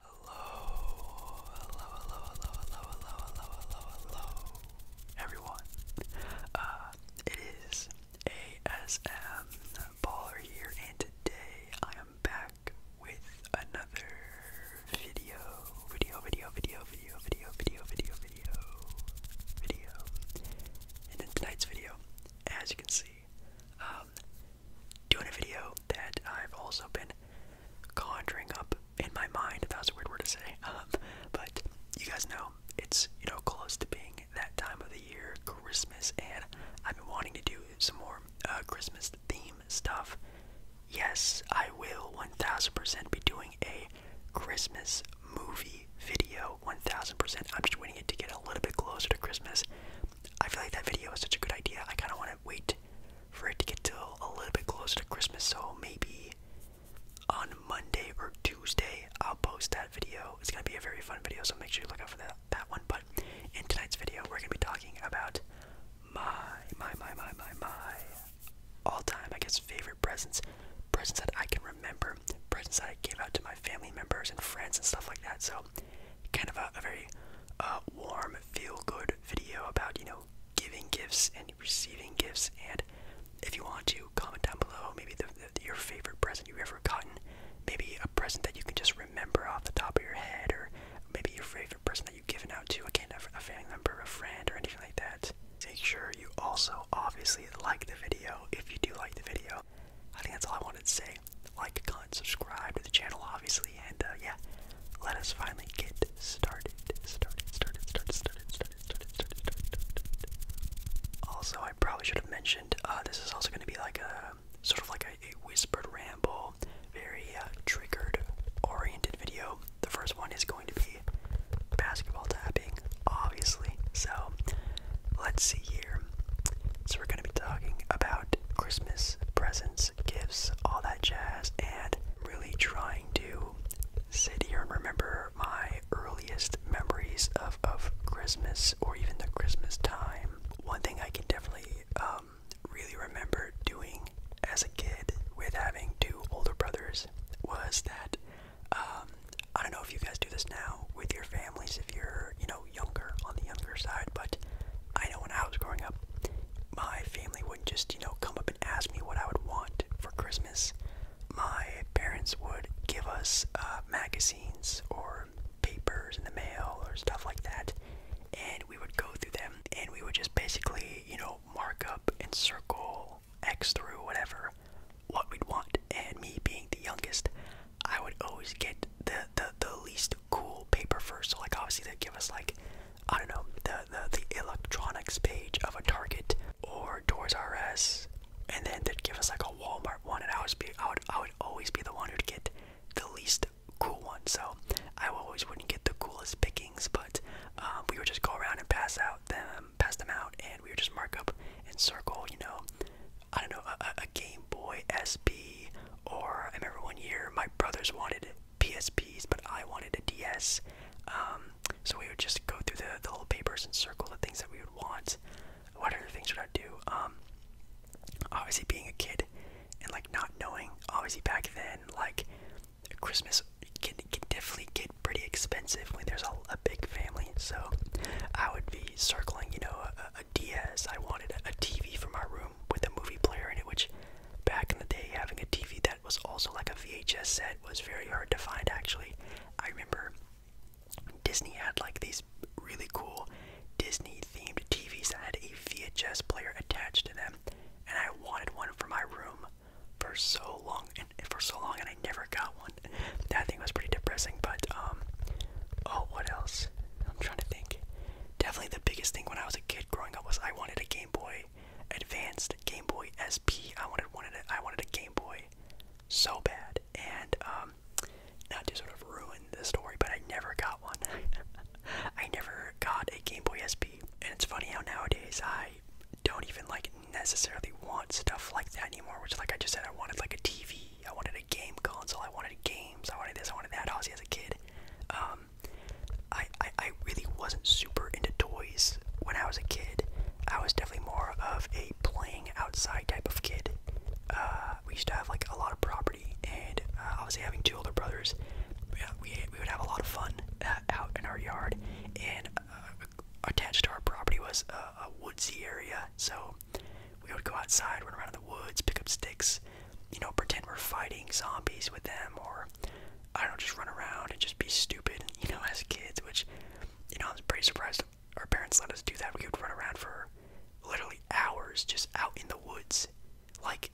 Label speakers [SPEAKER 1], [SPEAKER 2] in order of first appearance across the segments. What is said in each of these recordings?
[SPEAKER 1] Hello, hello, hello, hello, hello, hello, hello, hello, everyone. Uh, it is ASM Baller here, and today I am back with another video, video, video, video, video, video, video, video, video, video. And in tonight's video, as you can see, um, doing a video that I've also been conjuring up in my mind. thats a weird word to say. Um, but you guys know it's you know close to being that time of the year, Christmas, and I've been wanting to do some more uh, Christmas theme stuff. Yes, I will 1000% be doing a Christmas movie video. 1000%. I'm just waiting it to get a little bit closer to Christmas. I feel like that video is such a good idea. I kind of want to wait for it to get till a little bit closer to Christmas, so maybe on Monday or Tuesday I'll post that video. It's gonna be a very fun video, so make sure you look out for that that one. But in tonight's video, we're gonna be talking about my my my my my my all-time I guess favorite presents, presents that I can remember, presents that I gave out to my family members and friends and stuff like that. So kind of a, a very uh, warm, feel-good video about you know giving gifts and receiving gifts. And if you want to comment down below, maybe the, the, your favorite present you've ever gotten, maybe a present that you can just remember off the top of your head, or maybe your favorite person that you've given out to, again, a, a family member, a friend, or anything like that. Make sure you also obviously like the video if you do like the video. I think that's all I wanted to say say like, comment, subscribe to the channel, obviously, and uh, yeah, let us finally get started. Started, started, started, started, started, started, Also, I probably should have mentioned uh, this is also going to be like a sort of like a, whispered ramble, very uh, triggered oriented video. The first one is going to be basketball tapping, obviously. So, let's see here. So, we're going to be talking about Christmas presents presents, gifts, all that jazz, and really trying to sit here and remember my earliest memories of, of Christmas or even the Christmas time. One thing I can definitely um, really remember doing as a kid with having two older brothers was that um, I don't know if you guys do this now with your families if you're you know know, younger, on the younger side, but I know when I was growing up, my family wouldn't just, you know, come up and ask me what I would want for Christmas. My parents would give us uh, magazines or papers in the mail or stuff like that, and we would go through them and we would just basically, you know, mark up and circle X through whatever what we'd want. And me being the youngest, I would always get the, the, the least cool paper first. So like obviously they give us like I don't know the the, the electronics page of a Target or Doors R Us, and then they'd give us like a Walmart one, and I would be I would I would always be the one who'd get the least cool one. So I always wouldn't get the coolest pickings, but um, we would just go around and pass out them, pass them out, and we would just mark up and circle, you know, I don't know, a, a Game Boy SP, or I remember one year my brothers wanted PSPs, but I wanted a DS. Um, so we would just go through the, the little papers and circle the things that we would want. What other things should I do? Um, obviously, being a kid and like not knowing, obviously back then, like Christmas can, can definitely get pretty expensive when there's a, a big family. So I would be circling, you know, a, a DS. I wanted a, a TV for my room room with a movie player in it, which back in the day, having a TV that was also like a VHS set was very hard to find actually. I remember Disney had like these really cool Disney themed TVs that had a VHS player attached to them, and I wanted one for my room for so long and for so long and I never got one. That thing was pretty depressing, but um oh what else? I'm trying to think. Definitely the biggest thing when I was a kid growing up was I wanted a Game Boy Advanced, Game Boy SP. I wanted wanted I wanted a Game Boy so bad, and um, not to sort of ruin the story, but I never got one. I never got a Game Boy SP, and it's funny how nowadays I don't even like necessarily want stuff like that anymore. Which, like I just said, I wanted like a TV. I wanted wanted a game console. I wanted games. I wanted this. I wanted that. Obviously, as a kid, um, I, I I really wasn't super into toys when I was a kid. I was definitely more of a playing outside type of kid. Uh, we used to have like a lot of property, and uh, obviously having two older brothers, yeah, we we would have a lot of fun uh, out in our yard. And uh, attached to our property was a, a woodsy area, so so we would go outside, run around in the woods, pick up sticks, you know, pretend we're fighting zombies with them, or I don't know, just run around and just be stupid, you know, as kids. Which, you know, I was pretty surprised our parents let us do that. We would run around for literally hours just out in the woods, like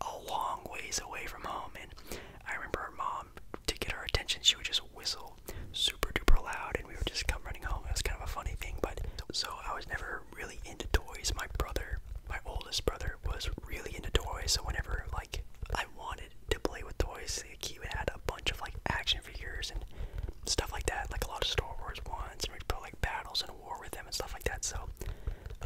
[SPEAKER 1] a long ways away from home. And I remember our mom, to get our attention, she would just whistle super duper loud, and we would just come running home. It was kind of a funny thing, but so I was never really into toys. My brother, my oldest brother, was really into toys. So whenever like I wanted to play with toys, like, he would add a bunch of like action figures and stuff like that. Like a lot of Star Wars ones, and we'd put like battles and war with them and stuff like that. So,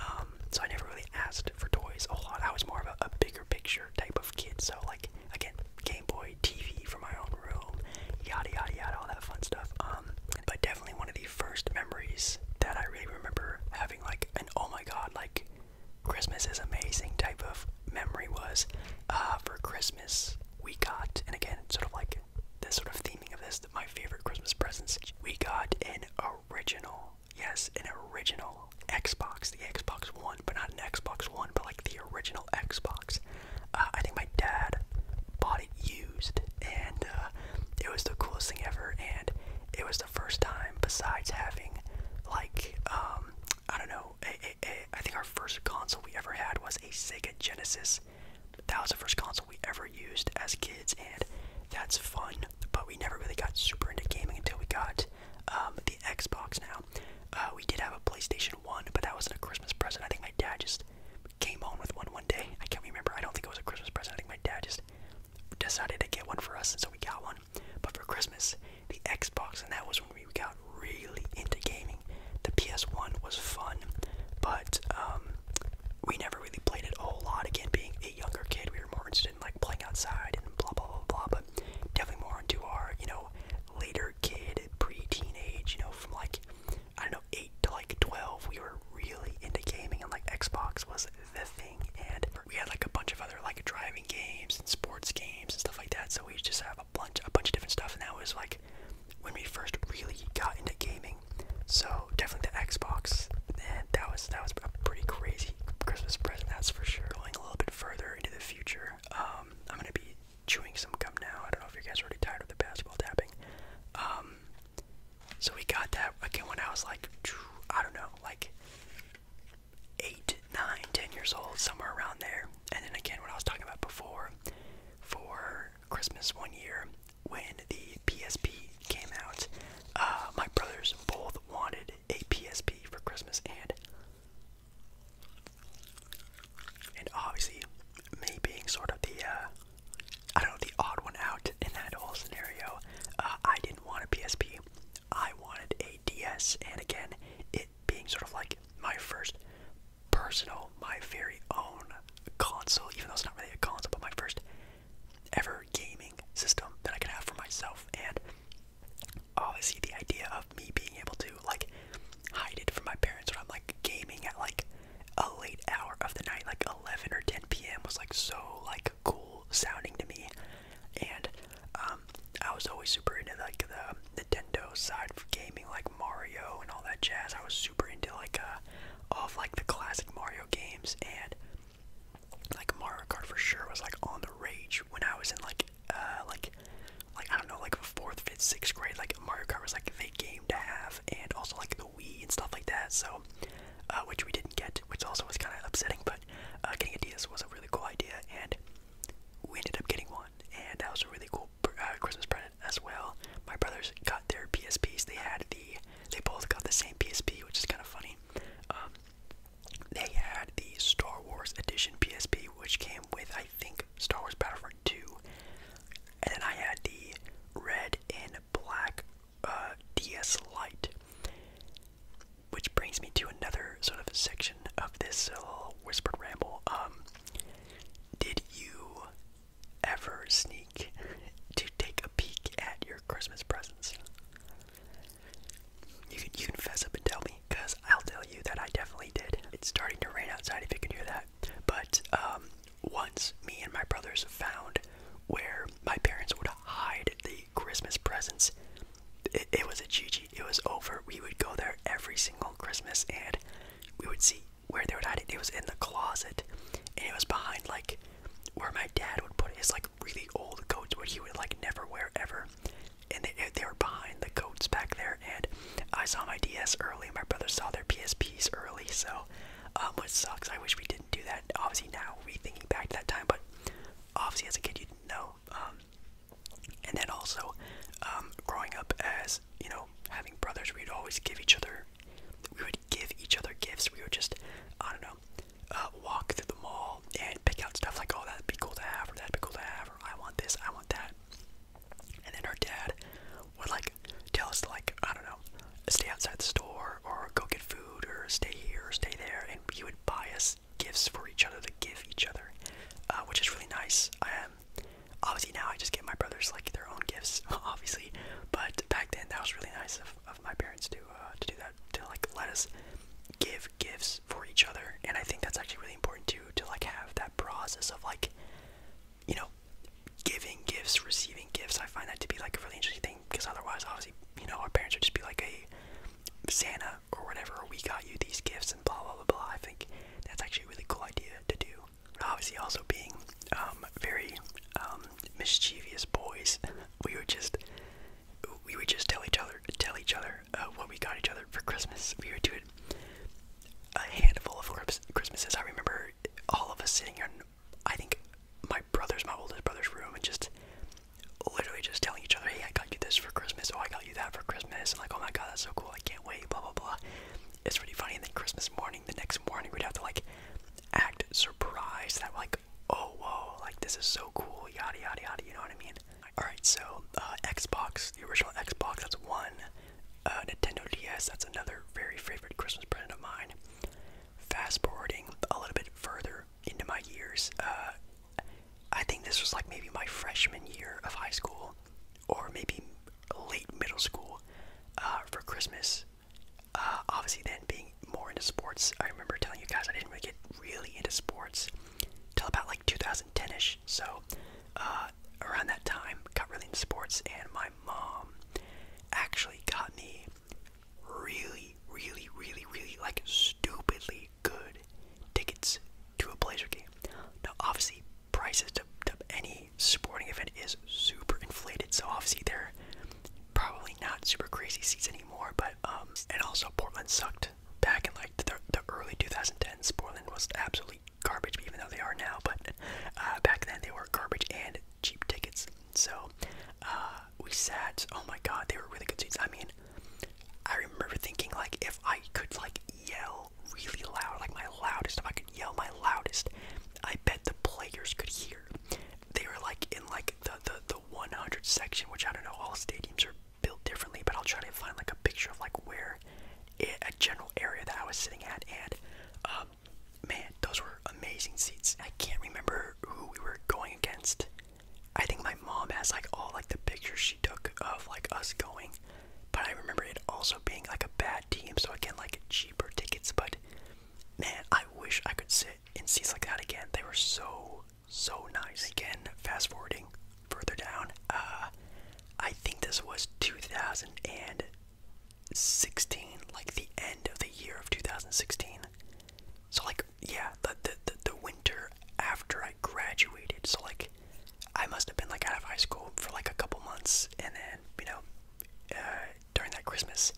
[SPEAKER 1] um, so I never really asked for toys a lot. I was more of a, a bigger picture type of kid. So like again, Game Boy, TV for my own room, yada yada yada, all that fun stuff. Um, um, but definitely one of the first memories that I really remember having like an oh my god, like Christmas is amazing type of memory was uh, for Christmas we got, and again, sort of like the sort of theming of this, that my favorite Christmas presents, we got an original, yes, an original Xbox, the Xbox One, but not an Xbox One, but like the original Xbox. Uh, I think my dad bought it used, and uh, it was the coolest thing ever. And it was the first time, besides having like um, I don't know, a, a, a, I think our first console we ever had was a Sega Genesis. That was the first console we ever used as kids, and that's fun. But we never really got super into gaming until we got um, the Xbox. Now, uh, we did have a PlayStation PlayStation 1, but that wasn't a Christmas present. I think my dad just came home with one one day. I can't remember. I don't think it was a Christmas present. I think my dad just decided to get one for us, and so we got one. But for Christmas, the Xbox, and that was when we got really into gaming. The PS1 was fun, but um, we never really played it a whole lot. Again, being a younger kid, we were more interested in like playing outside and blah blah blah blah. But definitely more into our you know later kid, pre-teenage, you know, from like I know, 8 to like 12, we were really into gaming and like Xbox was the thing. And we had like a bunch of other like driving games and sports games and stuff like that. So we just have a bunch, a bunch of different stuff. And that was like when we first really got into gaming. So definitely the Xbox. And that was, that was a pretty crazy Christmas present, that's for sure. Going a little bit further into the future, um, I'm going to be chewing some gum now. I don't know if you guys are already tired of the basketball tapping. Um, so we got that again when I was like, I don't know, like eight, nine, ten years old, somewhere around there. And then again, what I was talking about before, for Christmas one year when the PSP came out, uh, my brothers both wanted a PSP for Christmas, and and obviously, me being sort of the, uh, I don't know, the odd one out in that whole scenario, uh, I didn't want a PSP. I wanted a DS, and again, it being sort of like my first personal, my very own console, even though it's not really a console, but my first ever gaming system that I could have for myself. And obviously, the idea of me being able to, like, hide it from my parents when I'm like gaming at like a late hour of the night, like 11 or 10 p.m. was like so like cool sounding to me, and um, I was always super into like the um, Nintendo side for gaming, like Mario and all that jazz. I was super into like uh, all of like the classic Mario games and like Mario Kart for sure was like on the rage when I was in like uh like like I don't know, like fourth, fifth, sixth grade, like Mario Kart was like a big game to have, and also like the Wii and stuff like that. So, uh, which we didn't get, which also was kind of upsetting. But uh, getting a DS was a really cool idea, and we ended up getting one, and that was a really cool uh, Christmas present as well. My brothers got their PSPs. They had the, they both got the same PSP, which is kind of funny. Um, they had the Star Wars Edition PSP, which came with, I think Star Wars Battlefront 2. And then I had the red and black uh, DS Lite. Which brings me to another sort of section of this little whispered ramble. Um, did you ever sneak to take a peek at your Christmas presents? You can, you can fess up and tell me, because I'll tell you that I definitely did. It's starting to rain outside if you can hear that. But um, once me and my brothers found where my parents would hide the Christmas presents, it, it was a GG. It was over. We would go there every single Christmas and we would see where they would hide it. It was in the closet and it was behind like where my dad would put his like really old coats, what he would like never wear ever. And they, they were behind the coats back there and I saw my DS early, my brother saw their PSPs early, so um, which sucks. I wish we didn't do that. Obviously now, rethinking back to that time, but obviously as a kid you didn't know. Um, and then also, um, growing up as you know, having brothers, we'd always give each other. We would give each other gifts. We would just, I don't know, uh, walk through the mall and pick out stuff like, oh, that'd be cool to have, or that'd be cool to have, or I want this, I want that. And then our dad would like tell us to like, I don't know, stay outside the store or go get food or stay here or stay there. And he would buy us gifts for each other to give each other, uh, which is really nice. obviously now I just get my brothers like their own gifts, obviously. But back then that was really nice of, of my parents to uh, to do that to like let us give gifts for each other. And I think that's actually really important too to like have that process of like you know, giving gifts, receiving gifts. I find that to be like a really interesting thing because otherwise, obviously, you know, our parents would just be like, "Hey, Santa or whatever, or we got you these gifts and blah blah blah blah." I think that's actually a really cool idea to do. But obviously, also being um, very um, mischievous boys, we would just we would just tell each other tell each other uh, what we got each other for Christmas. We would do it a handful of Christmases. I remember all of us sitting in, I think, my brother's, my oldest brother's room, and just literally just telling each other, hey, I got you this for Christmas, oh, I got you that for Christmas, and like, oh my god, that's so cool, I can't wait, blah, blah, blah. It's really funny, and then Christmas morning, the next morning, we'd have to like act surprised that, like, oh, whoa, like, this is so cool, yada, yada, yada, you know what I mean? Alright, so uh, Xbox, the original Xbox, that's one. Uh, Nintendo DS, that's another very favorite Christmas present of mine. Fast forwarding a little bit further into my years, uh, I think this was like maybe my freshman year of high school, or maybe late middle school uh, for Christmas. obviously, then being more into sports, I remember telling you guys I didn't really get really into sports till about like. 2010ish. So uh, around that time, got really into sports, and my mom actually got me really, really, really, really like stupidly good tickets to a Blazer game. Now, obviously, prices to, any sporting event is super inflated, so obviously they're probably not super crazy seats anymore. But um, and also Portland sucked back in like the early 2010s. Portland was absolutely garbage, even though they are now. But uh, back then they were garbage and cheap tickets. So uh, we sat. Oh my God, they were really good seats. I mean, I remember thinking like if I could like yell really loud, like my loudest, if I could yell my loudest, I bet the players could hear. They were like in like the the the 100 section, which I don't know. All stadiums are built differently, but I'll try to find like a picture of like where a general area that I was sitting at, and um, man, those were amazing seats. I can't remember who we were going against. I think my mom has like all like the pictures she took of like us going, but I remember it also being like a bad team, so I again like cheaper tickets. But man, I wish I could sit in seats like that again. They were so so nice. Again, fast forwarding further down. Uh, I think this was 2016, like the end of the year of 2016. So like, yeah, the the the, winter after I graduated. So like, I must have been like out of high school for like a couple months, and then you know, uh, during that Christmas,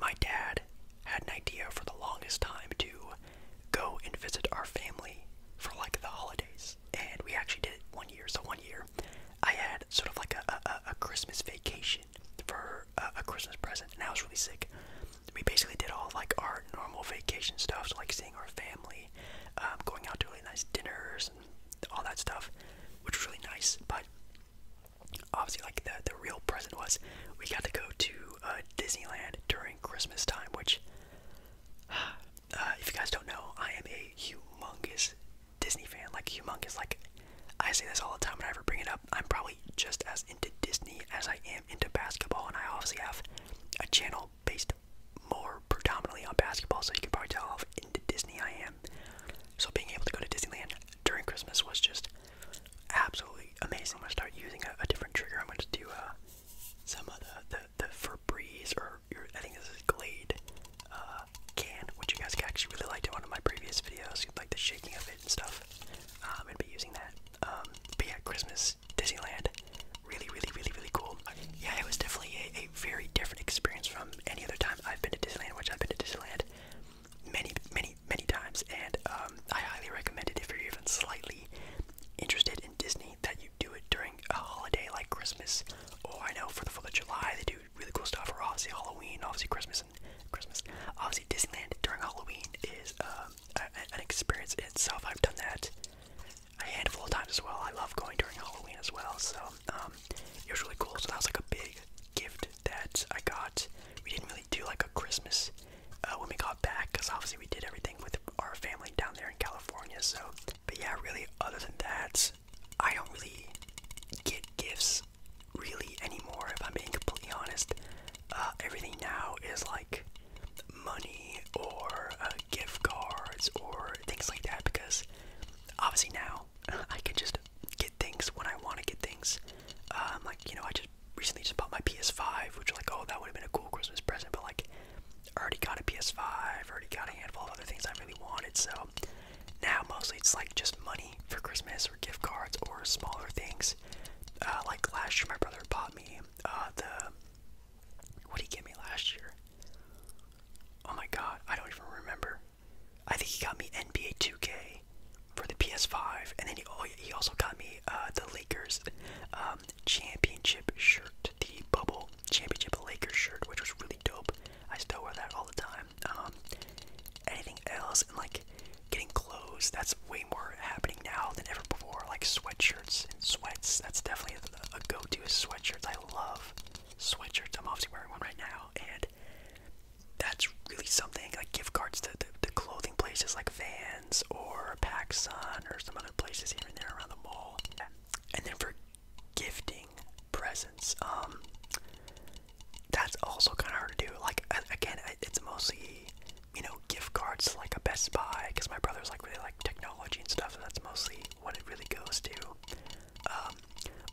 [SPEAKER 1] my dad had an idea for the longest time to go and visit our family for like the holidays and we actually did it one year. So one year, I had sort of like a a, Christmas vacation for a, Christmas present, and I was really sick. We basically did all like our normal vacation stuff, so like seeing our family, um, going out to really nice dinners and all that stuff, which was really nice. But obviously, like the the real present was we got to go to uh, Disneyland during Christmas time, which Uh, if you guys don't know, I am a humongous Disney fan. Like humongous. Like I say this all the time when I ever bring it up. I'm probably just as into Disney as I am into basketball, and I obviously have a channel based more predominantly on basketball, so you can probably tell how into Disney I am. So being able to go to Disneyland during Christmas was just absolutely amazing. I'm gonna start using a, different trigger. I'm gonna do uh, some other the Febreze or I think this is Glade uh, can, which you guys actually really liked in one of my previous videos, like the shaking of it and stuff. I'm um, gonna be using that. Um, but yeah, Christmas Disneyland, really, really, really, really cool. Yeah, it was definitely a, very different experience from any other time I've been to Disneyland, which I've been to Disneyland many, many, many times, and um, I highly recommend it if you're even slightly interested in Disney that you do it during a holiday like Christmas. Oh, I know for the Fourth of July they do really cool stuff. For obviously Halloween, obviously Christmas and Christmas. Obviously Disneyland during Halloween is um, an experience in itself. I've done that a handful of times as well. I love going during Halloween as well. So um, it was really cool. So that was like a big gift that I got. We didn't really do like a Christmas uh, when we got back because obviously we did everything with our family down there in California. So, but yeah, really, other than that, I don't really get gifts really anymore. If I'm being completely honest, uh, everything now is like money or uh, gift cards or things like that because obviously now I can just get things when I want to get things. Um, like you know, I just recently just bought my PS5, which like oh that would have been a cool Christmas present, but like already got a PS5, already got a handful of other things I really wanted, so now mostly it's like just money for Christmas or gift cards or smaller things. Uh, like last year, my brother bought me uh, the. What did he get me last year? Oh my god, I don't even remember. I think he got me NBA 2K for the PS5, and then he, oh, he also got me uh, the Lakers um, championship shirt, the bubble championship Lakers shirt, which was really dope. I still wear that all the time. Um, anything else and like getting clothes, that's way more happening now than ever before. Like sweatshirts and sweats, that's definitely a, go-to. Sweatshirts, I love sweatshirts. I'm obviously wearing one right now, and that's really something. Like gift cards to the clothing places like Vans or PacSun or some other places here and there around the mall. And then for gifting presents, um, that's also kind of hard to do. Like again, it's mostly you know gift cards to like a Best Buy because my brother's like really like technology and stuff, and that's mostly what it really goes to. Um,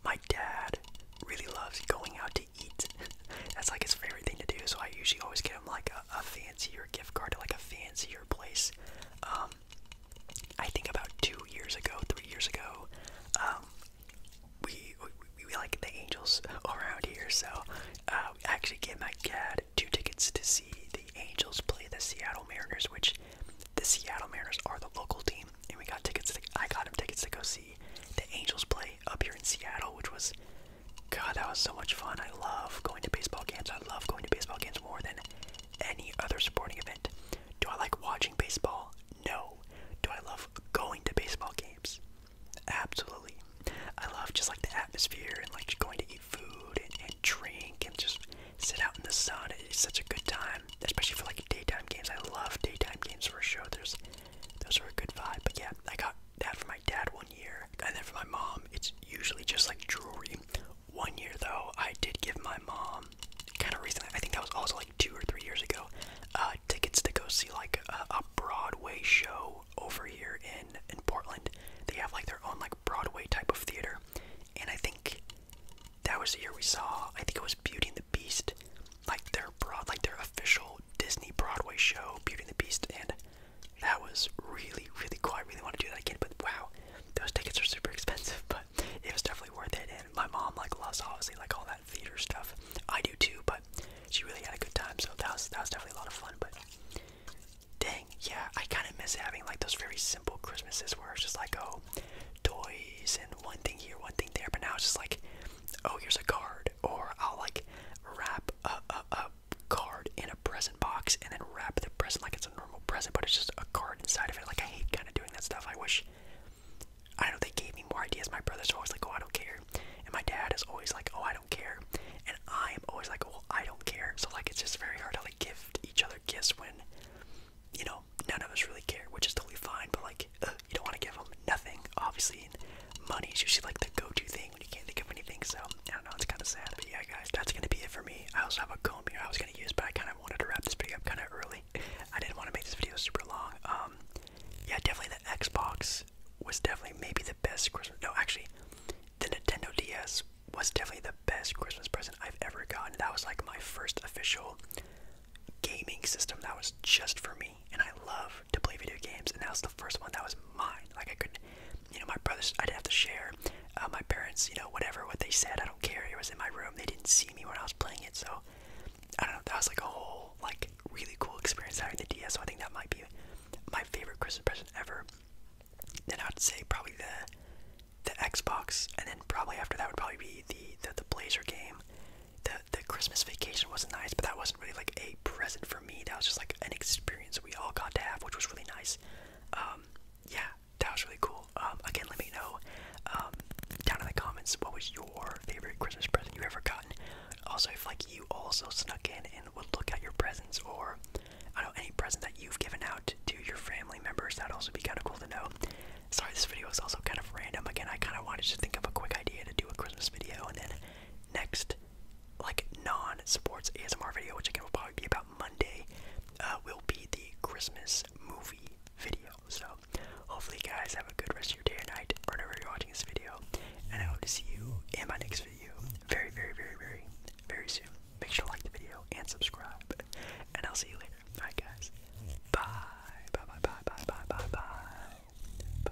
[SPEAKER 1] my dad really loves going out to eat. that's like his favorite thing to do. So I usually always get him like a, a fancier gift card to like a fancy place. Um, I think about two years ago, three years ago, um, we, we like the Angels around here, so uh, I actually get my dad two tickets to see the Angels play the Seattle Mariners, which the Seattle Mariners are the local team, and we got tickets. To, I got him tickets to go see the Angels play up here in Seattle, which was God, that was so much fun. I love going to baseball games. I love going to baseball games more than any other sporting event. Do I like watching baseball? No. Do I love going to baseball games? Absolutely. I love just like the atmosphere and like going to eat food and, and drink and just sit out in the sun. It's such a good time, especially for like daytime games. I love daytime games for sure. There's those are a good vibe. But yeah, I got that for my dad one year, and then for my mom, it's usually just like jewelry. One year though, I did give my mom kind of recently. I think that was also like two or three years ago. Uh, tickets to go see like a, a Broadway show over here in in Portland. They have like their own like Broadway type of theater, and I think that was the year we saw. I think it was Beauty and the Beast, like their broad, like their official Disney Broadway show, Beauty and the Beast, and that was really, really cool. I really want to do that again, but wow, those tickets are super expensive, but it was definitely worth it. And my mom like loves obviously like all that theater stuff. I do too, but she really had a good time, so that was that was definitely a lot of fun. But dang, yeah, I kind of miss having like those very simple Christmases where it's just like oh, toys and one thing here, one thing there. But now it's just like oh, here's a card, or I'll like wrap up, up, up card in a present box and then wrap the present like it's a normal present, but it's just a card inside of it. Like I hate kind of doing that stuff. I wish I don't know they gave me more ideas. My brother's always like, oh I don't care, and my dad is always like, oh I don't care, and I am always like, oh, I don't care. So like it's just very hard to like give each other gifts when you know none of us really care, which is totally fine. But like you don't want to give them nothing. Obviously, and money is usually like the go-to thing when you can't think of anything. So I don't know, it's kind of sad. But yeah, guys, that's gonna be it for me. I also have a comb here I was gonna use, but I kind of wanted to wrap this video up kind of early. I didn't want to make this video super long. Um, yeah, definitely the Xbox was definitely maybe the best Christmas. No, actually, the Nintendo DS was definitely the best Christmas present I've ever gotten. That was like my first official gaming system that was just for me, and I love to play video games. And that was the first one that was mine. Like I could you know, my brothers, I didn't have to share. Uh, my parents, you know, whatever, what they said, I don't care. It was in my room. They didn't see me when I was playing it. So, I don't know. That was like a whole, like, really cool experience having the DS. So, I think that might be my favorite Christmas present ever. Then I'd say probably the the Xbox, and then probably after that would probably be the the, the Blazer game. The the Christmas Vacation wasn't nice, but that wasn't really like a present for me. That was just like an experience we all got to have, which was really nice. Um, yeah, that was really cool. Um, again, let me know um, down in the comments what was your favorite Christmas present you ever gotten. Also, if like you also snuck in and would look at your presents, or I don't know any present that you've given out to your family members, that'd also be kind of cool to know. Sorry, this video is also kind of random. Again, I kind of wanted to think of a quick idea to do a Christmas video, and then next like non-sports ASMR video, which again will probably be about Monday, uh, will be the Christmas movie video. So hopefully, you guys have a good rest of your day and night, or whenever you're watching this video. And I hope to see you in my next video very, very, very, very, very soon. Make sure to like the video and subscribe, and I'll see you later. All right, guys. Bye. Bye. Bye. Bye. Bye. Bye. Bye. Bye.